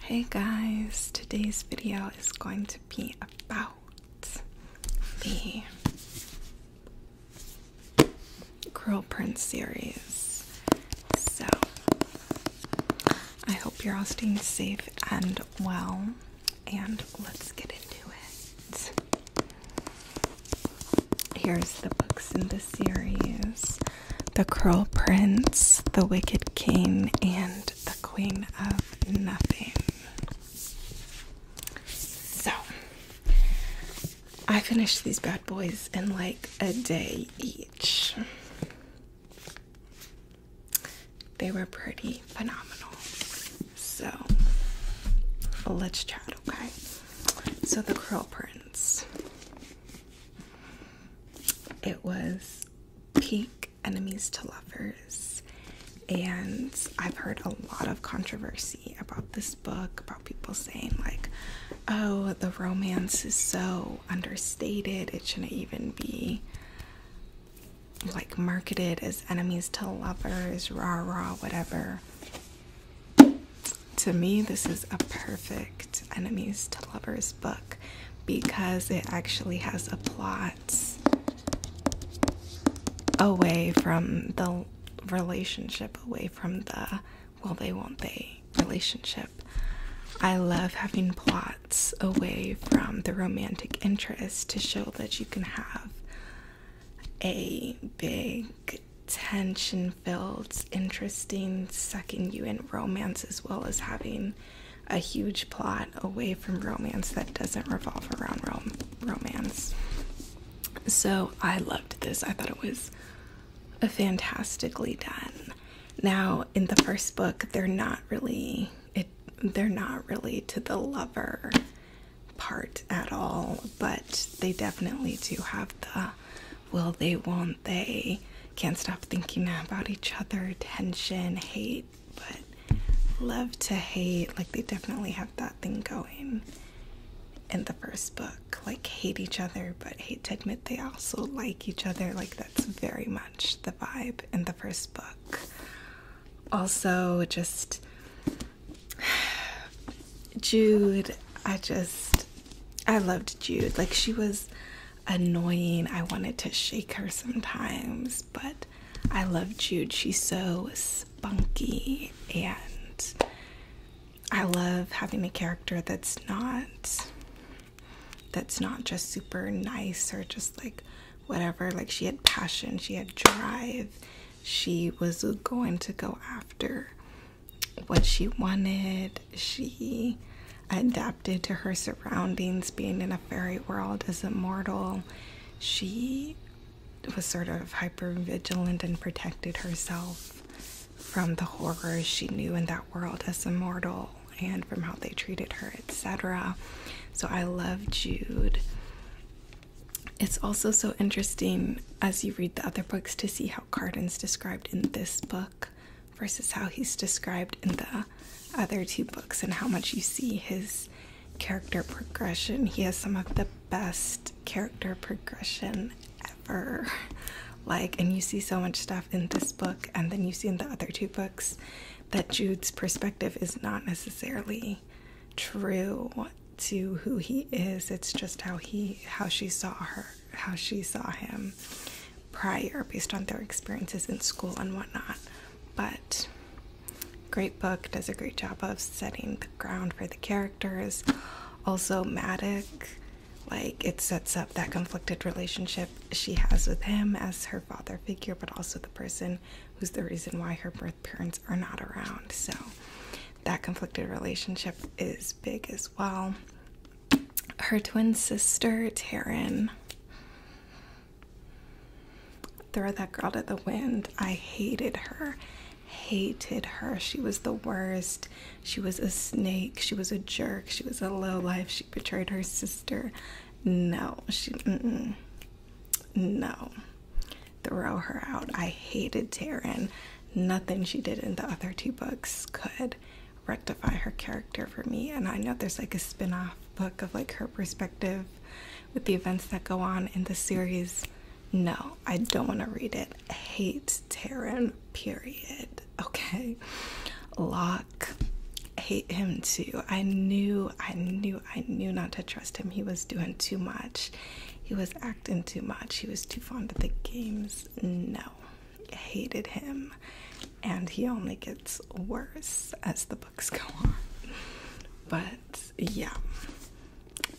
Hey guys, today's video is going to be about the Curl Prince series. So, I hope you're all staying safe and well, and let's get into it. Here's the books in the series. The Curl Prince, The Wicked King, and The Queen of Nothing. So, I finished these bad boys in like a day each. They were pretty phenomenal. So, let's chat, okay? So, The Curl Prince. It was peak enemies to lovers, and I've heard a lot of controversy about this book, about people saying, like, oh, the romance is so understated, it shouldn't even be like marketed as enemies to lovers, rah rah, whatever. To me, this is a perfect enemies to lovers book because it actually has a plot away from the relationship, away from the well, they, won't they relationship. I love having plots away from the romantic interest to show that you can have a big tension Builds interesting, sucking you in romance, as well as having a huge plot away from romance that doesn't revolve around romance. So I loved this. I thought it was fantastically done. Now, in the first book, they're not really it. They're not really to the lover part at all, but they definitely do have the will they, won't they? Can't stop thinking about each other, tension, hate, but love to hate. Like, they definitely have that thing going in the first book. Like, hate each other, but hate to admit they also like each other. Like, that's very much the vibe in the first book. Also, just Jude, I just I loved Jude. Like she was annoying. I wanted to shake her sometimes, but I love Jude. She's so spunky and I love having a character that's not that's not just super nice or just like whatever. Like she had passion, she had drive. She was going to go after what she wanted. She adapted to her surroundings, being in a fairy world as a mortal. She was sort of hyper vigilant and protected herself from the horrors she knew in that world as a mortal and from how they treated her, etc. So I love Jude. It's also so interesting as you read the other books to see how Cardin's described in this book versus how he's described in the other two books and how much you see his character progression. He has some of the best character progression ever. Like, and you see so much stuff in this book, and then you see in the other two books that Jude's perspective is not necessarily true to who he is. It's just how he, how she saw her how she saw him prior based on their experiences in school and whatnot. But great book does a great job of setting the ground for the characters. Also Maddie, like it sets up that conflicted relationship she has with him as her father figure, but also the person who's the reason why her birth parents are not around. So that conflicted relationship is big as well her twin sister, Taryn. Throw that girl to the wind. I hated her. Hated her. She was the worst. She was a snake. She was a jerk. She was a low life. She betrayed her sister. No, she. No. Throw her out. I hated Taryn nothing she did in the other two books could rectify her character for me. And I know there's like a spin off book of like her perspective with the events that go on in the series. No, I don't want to read it. hate Taryn, period. Okay. Locke, hate him too. I knew, I knew, I knew not to trust him. He was doing too much. He was acting too much. He was too fond of the games. No, hated him, and he only gets worse as the books go on. But yeah,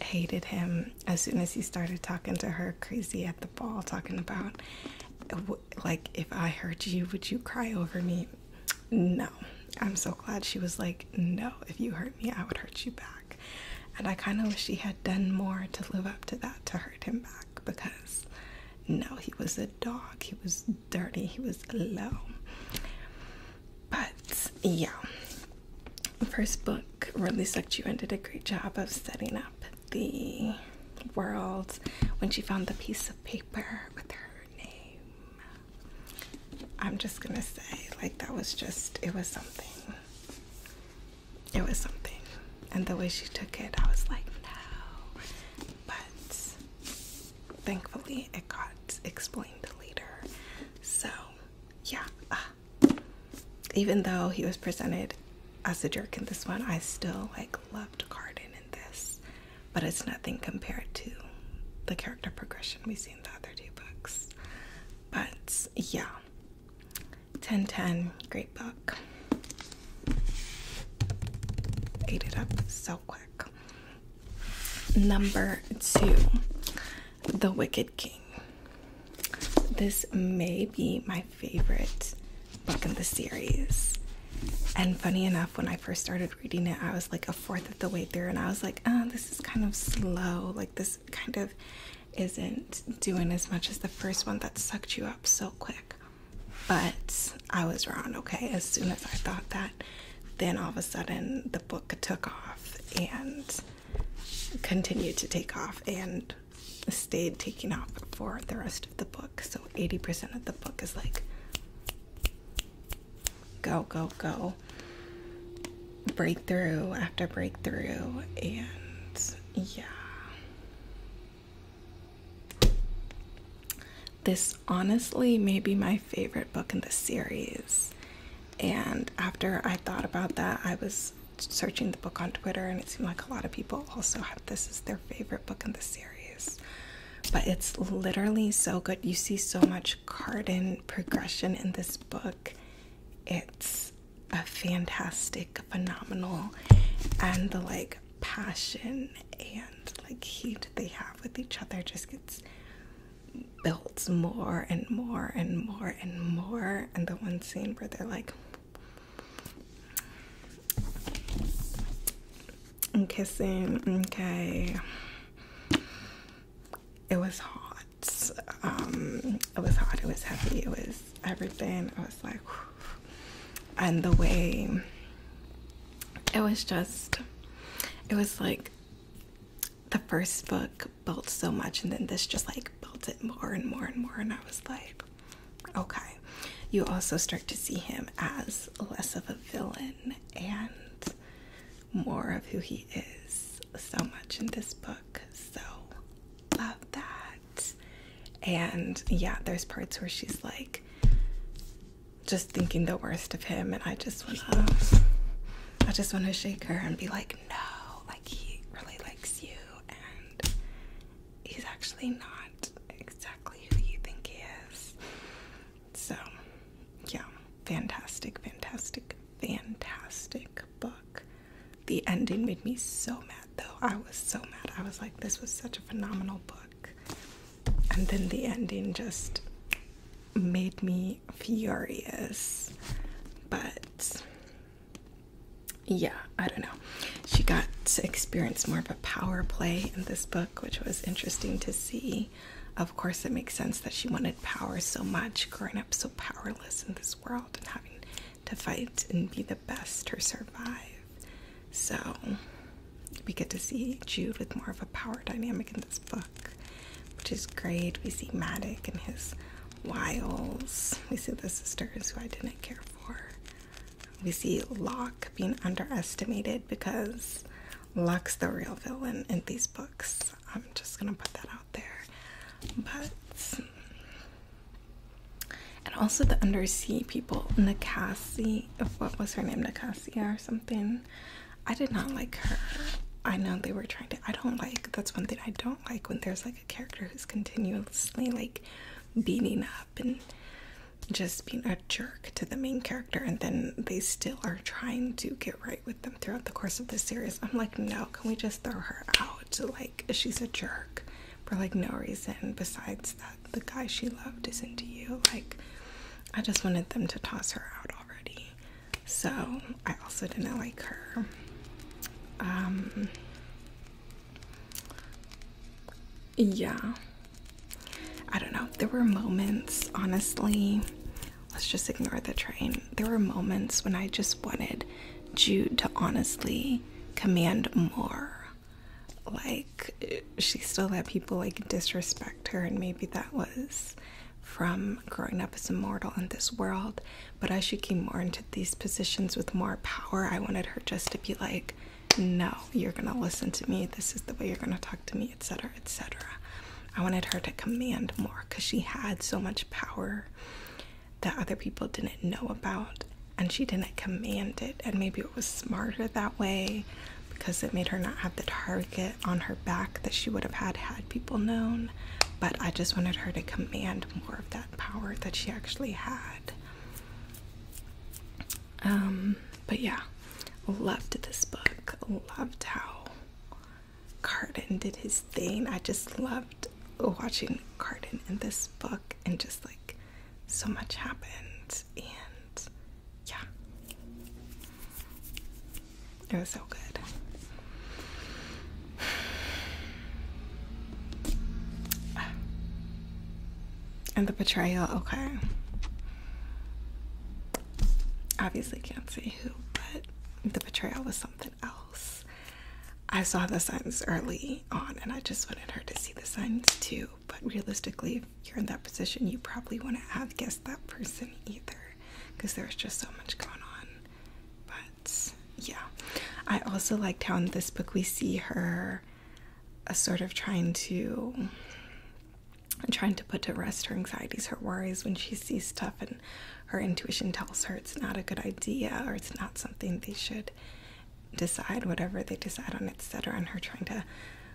hated him as soon as he started talking to her crazy at the ball, talking about like if I hurt you, would you cry over me? No, I'm so glad she was like, No, if you hurt me, I would hurt you back. And I kind of wish she had done more to live up to that to hurt him back because no, he was a dog, he was dirty, he was low. But yeah, the first book really sucked you in, did a great job of setting up the world when she found the piece of paper with her name. I'm just gonna say, like, that was just, it was something it was something. And the way she took it, I was like, no. But thankfully, it got explained later. So, yeah. even though he was presented as a jerk in this one, I still like loved Cardin in this. But it's nothing compared to the character progression we see in the other two books. But yeah. 1010, great book. Ate it up so quick. Number two, The Wicked King. This may be my favorite book in the series. And funny enough, when I first started reading it, I was like a fourth of the way through, and I was like, oh, this is kind of slow. Like, this kind of isn't doing as much as the first one that sucked you up so quick. But I was wrong, okay? As soon as I thought that, then all of a sudden the book took off and continued to take off and stayed taking off for the rest of the book. So 80% of the book is like go, go, go breakthrough after breakthrough, and yeah. This honestly may be my favorite book in the series. And after I thought about that, I was searching the book on Twitter, and it seemed like a lot of people also had this as their favorite book in the series. But it's literally so good. You see so much Cardin progression in this book. It's a fantastic, phenomenal, and the like passion and like heat they have with each other just gets built more and more and more and more. And the one scene where they're like I'm kissing, okay it was hot. Um, it was hot. It was heavy. It was everything. I was like, and the way it was just, it was like the first book built so much, and then this just like built it more and more and more. And I was like, okay. You also start to see him as less of a villain and more of who he is so much in this book book. So, love that. And yeah, there's parts where she's like just thinking the worst of him, and I just wanna, I just wanna shake her and be like, no, like he really likes you, and he's actually not exactly who you think he is. So, yeah, fantastic, fantastic, fantastic book. The ending made me so mad though. I was so mad. I was like, this was such a phenomenal book. And then the ending just made me furious. But yeah, I don't know. She got to experience more of a power play in this book, which was interesting to see. Of course, it makes sense that she wanted power so much, growing up so powerless powerless in this world and having to fight and be the best or survive. So we get to see Jude with more of a power dynamic in this book, which is great. We see Maddox and his wiles. We see the sisters who I didn't care for. We see Locke being underestimated because Locke's the real villain in these books. I'm just gonna put that out there. But and also the undersea people, Nakasi, what was her name, Nakasia or something. I did not like her. I know they were trying to. I don't like. That's one thing I don't like when there's like a character who's continuously like beating up and just being a jerk to the main character, and then they still are trying to get right with them throughout the course of this series. I'm like, no, can we just throw her out? Like, she's a jerk for like no reason besides that the guy she loved is into you. Like, I just wanted them to toss her out already. So I also didn't like her. Um, yeah, I don't know. There were moments, honestly, let's just ignore the train. There were moments when I just wanted Jude to honestly command more. Like, she still let people like disrespect her, and maybe that was from growing up as a mortal in this world. But as she came more into these positions with more power, I wanted her just to be like, no, you're gonna listen to me, this is the way you're gonna talk to me, etc., etc. I wanted her to command more because she had so much power that other people didn't know about and she didn't command it. And maybe it was smarter that way because it made her not have the target on her back that she would have had had people known. But I just wanted her to command more of that power that she actually had. Um, but yeah, loved this book, loved how Cardin did his thing. I just loved watching Cardin in this book, and just like so much happened, and yeah, it was so good. And the betrayal, okay. Obviously, can't say who, but the betrayal was something else. I saw the signs early on and I just wanted her to see the signs too. But realistically, if you're in that position, you probably wouldn't have guessed that person either because there's just so much going on. But yeah, I also liked how in this book we see her uh, sort of trying to trying to put to rest her anxieties, her worries when she sees stuff in her intuition tells her it's not a good idea or it's not something they should decide, whatever they decide on, etc. And her trying to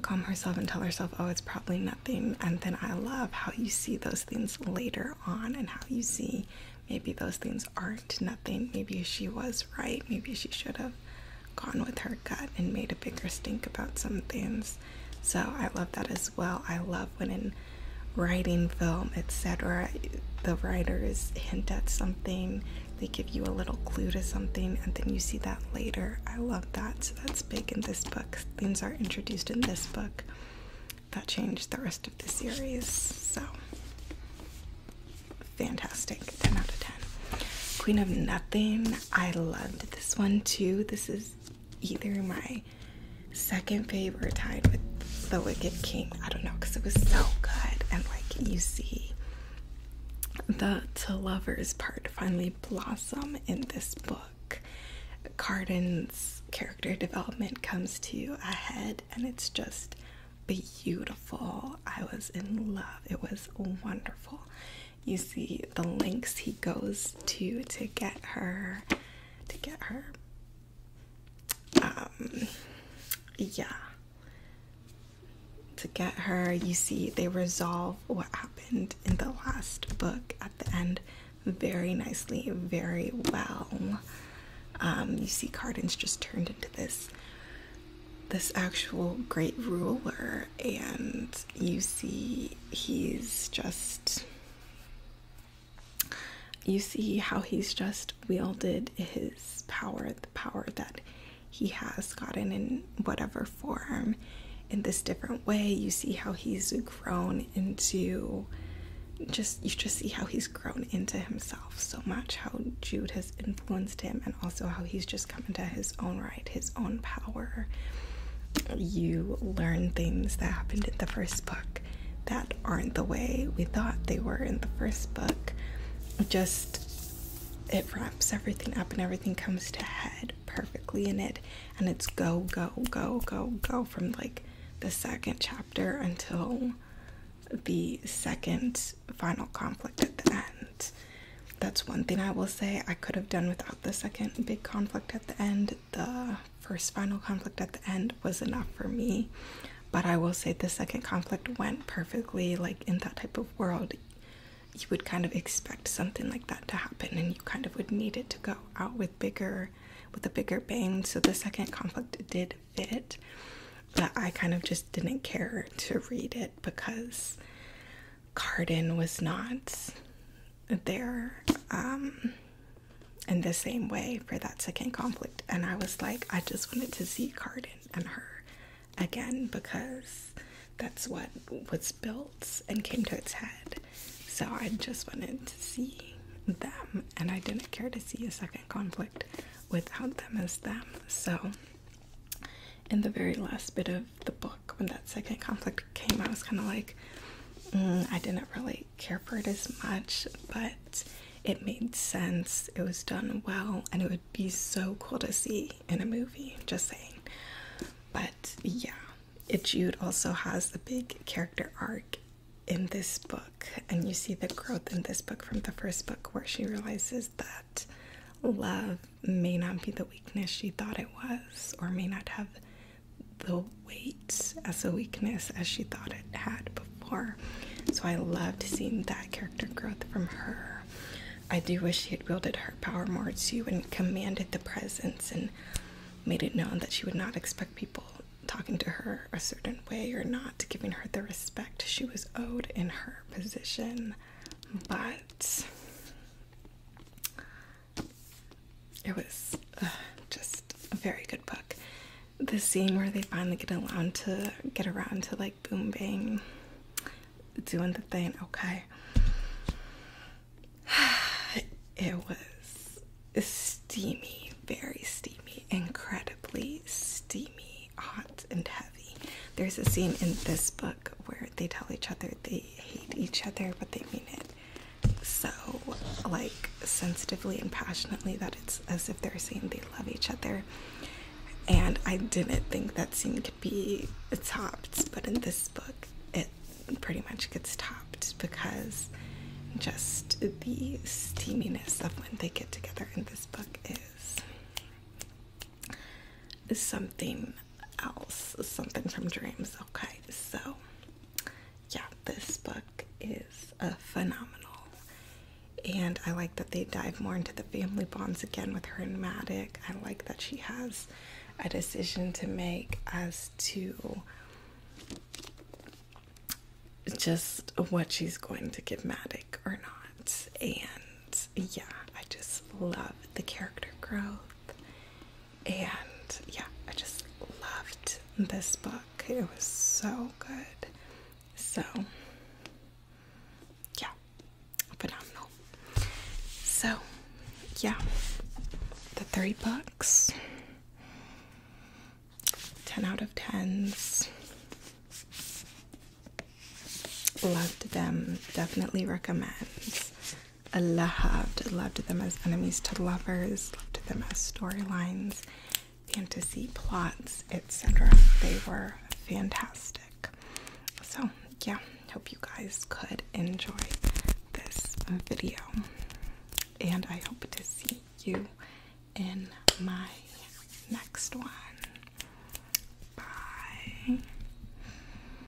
calm herself and tell herself, oh, it's probably nothing. And then I love how you see those things later on and how you see maybe those things aren't nothing. Maybe she was right. Maybe she should have gone with her gut and made a bigger stink about some things. So I love that as well. I love when in writing, film, etc., the writers hint at something, they give you a little clue to something, and then you see that later. I love that. So that's big in this book. Themes are introduced in this book that changed the rest of the series. So fantastic. 10 out of 10. Queen of Nothing. I loved this one too. This is either my second favorite time with The Wicked King. I don't know because it was so good. And like you see the to lovers part finally blossom in this book. Carden's character development comes to a head and it's just beautiful. I was in love. It was wonderful. You see the lengths he goes to to get her to get her. Um, yeah. To get her, you see, they resolve what happened in the last book at the end very nicely, very well. Um, you see, Cardin's just turned into this this actual great ruler, and you see he's just you see how he's just wielded his power, the power that he has gotten in whatever form in this different way. You see how he's grown into just you just see how he's grown into himself so much, how Jude has influenced him, and also how he's just come into his own right, his own power, you learn things that happened in the first book that aren't the way we thought they were in the first book. Just it wraps everything up and everything comes to head perfectly in it and it's go go go go go from like the second chapter until the second final conflict at the end. That's one thing I will say I could have done without the second big conflict at the end the first final conflict at the end was enough for me. But I will say the second conflict went perfectly. Like in that type of world, you would kind of expect something like that to happen, and you kind of would need it to go out with bigger, with a bigger bang. So the second conflict did fit, but I kind of just didn't care to read it because Cardin was not there um, in the same way for that second conflict. And I was like, I just wanted to see Cardin and her again because that's what was built and came to its head. So I just wanted to see them, and I didn't care to see a second conflict without them as them. So, in the very last bit of the book when that second conflict came, I was kind of like, mm, I didn't really care for it as much, but it made sense. It was done well, and it would be so cool to see in a movie. Just saying, but yeah, it Jude also has a big character arc in this book, and you see the growth in this book from the first book where she realizes that love may not be the weakness she thought it was, or may not have the weight as a weakness as she thought it had before. So I loved seeing that character growth from her. I do wish she had wielded her power more too and commanded the presence and made it known that she would not expect people talking to her a certain way or not giving her the respect she was owed in her position. But it was uh, just a very good book. The scene where they finally get allowed to get around to like boom bang doing the thing, okay. It was steamy, very steamy, incredibly steamy, hot, and heavy. There's a scene in this book where they tell each other they hate each other, but they mean it so like sensitively and passionately that it's as if they're saying they love each other and i didn't think that scene could be topped but in this book it pretty much gets topped because just the steaminess of when they get together in this book is something else, something from dreams. Okay, so yeah, this book is a uh, phenomenal. And I like that they dive more into the family bonds again with her and Maddie. I like that she has a decision to make as to just what she's going to give Maddie or not. And yeah, I just love the character growth and yeah, I just loved this book. It was so good. So, yeah, phenomenal. So, yeah, the three books 10 out of 10s. Loved them. Definitely recommend. I loved them as enemies to lovers, loved them as storylines, fantasy plots, etc. They were fantastic. So, yeah, hope you guys could enjoy this video, and I hope to see you in my next one. Bye.